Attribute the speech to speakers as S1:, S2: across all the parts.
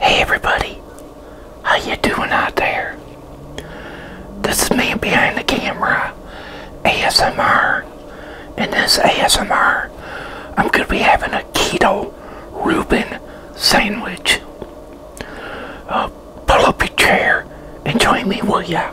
S1: Hey everybody, how you doing out there? This is me behind the camera, ASMR. In this ASMR, I'm going to be having a keto Reuben sandwich. Uh, pull up a chair and join me, will ya?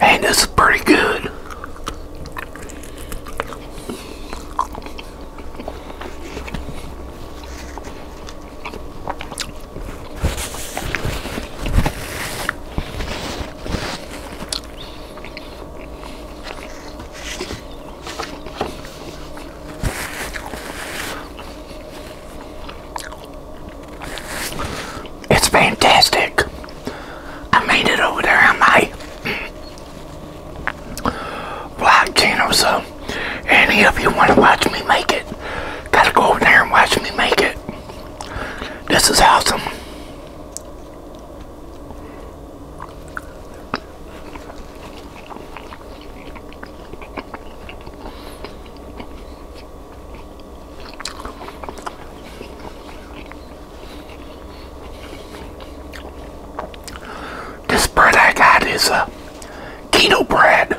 S1: And this is pretty good. It's fantastic. I made it over there I my black channel, so any of you want to watch me make it, gotta go over there and watch me make it. This is awesome. This bread I got is a uh, keto bread.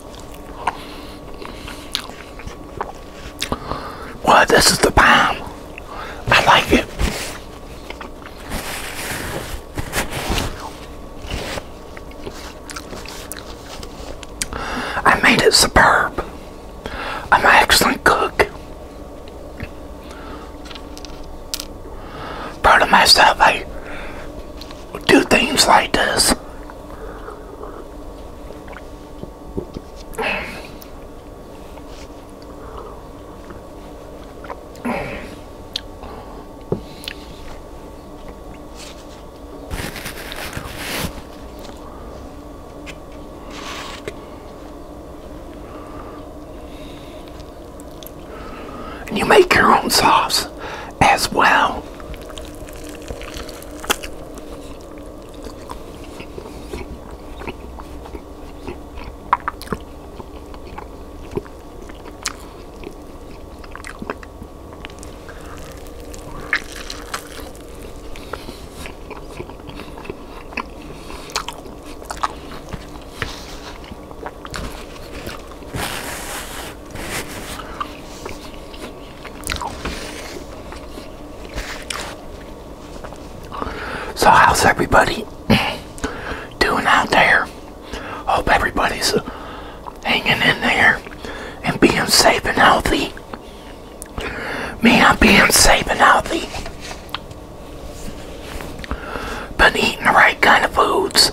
S1: Well, this is the bomb. I like it. I made it superb. I'm an excellent cook. Proud of myself. I do things like this. And you make your own sauce as well. So how's everybody doing out there? Hope everybody's hanging in there and being safe and healthy. Me, I'm being safe and healthy. Been eating the right kind of foods.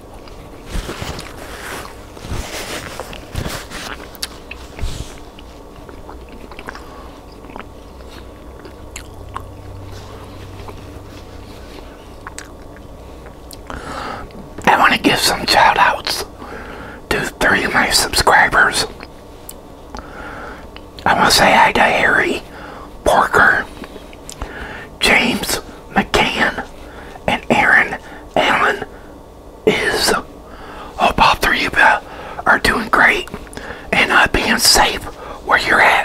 S1: I want to give some shout outs to three of my subscribers. I want to say hi to Harry Porker. James McCann and Aaron Allen is. Hope three of you are doing great and uh, being safe where you're at.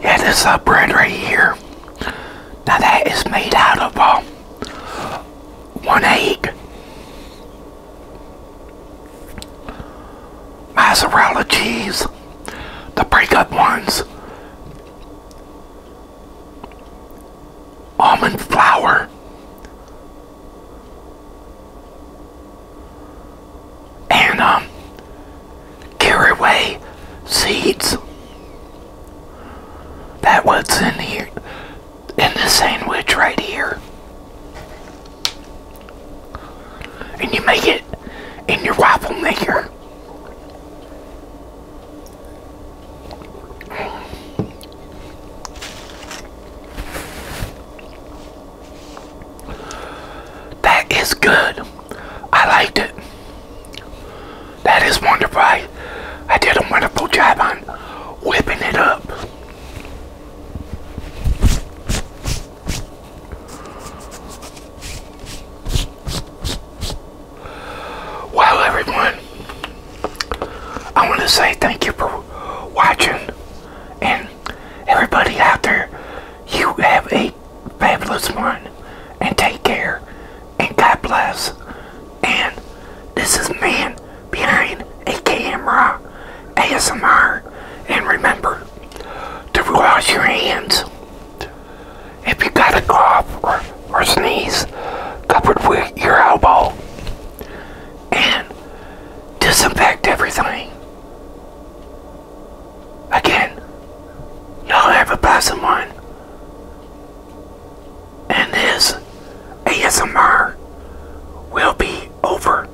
S1: Yeah, this uh, bread right here. Now that is made out of uh, one egg, mozzarella cheese, the break-up ones, almond flour, and um, caraway seeds. That what's in here in the sandwich right here. And you make it in your waffle maker. That is good. I liked it. That is wonderful. I, did a wonderful job on whipping it up. Wow, everyone, I want to say thank you for watching, and everybody out there, you have a fabulous one, and take care, and God bless. And this is Man Behind a Camera ASMR, and remember, to wash your hands. If you got to cough or, or sneeze, covered with your elbow and disinfect everything. Again, y'all have a pleasant one. And this ASMR will be over.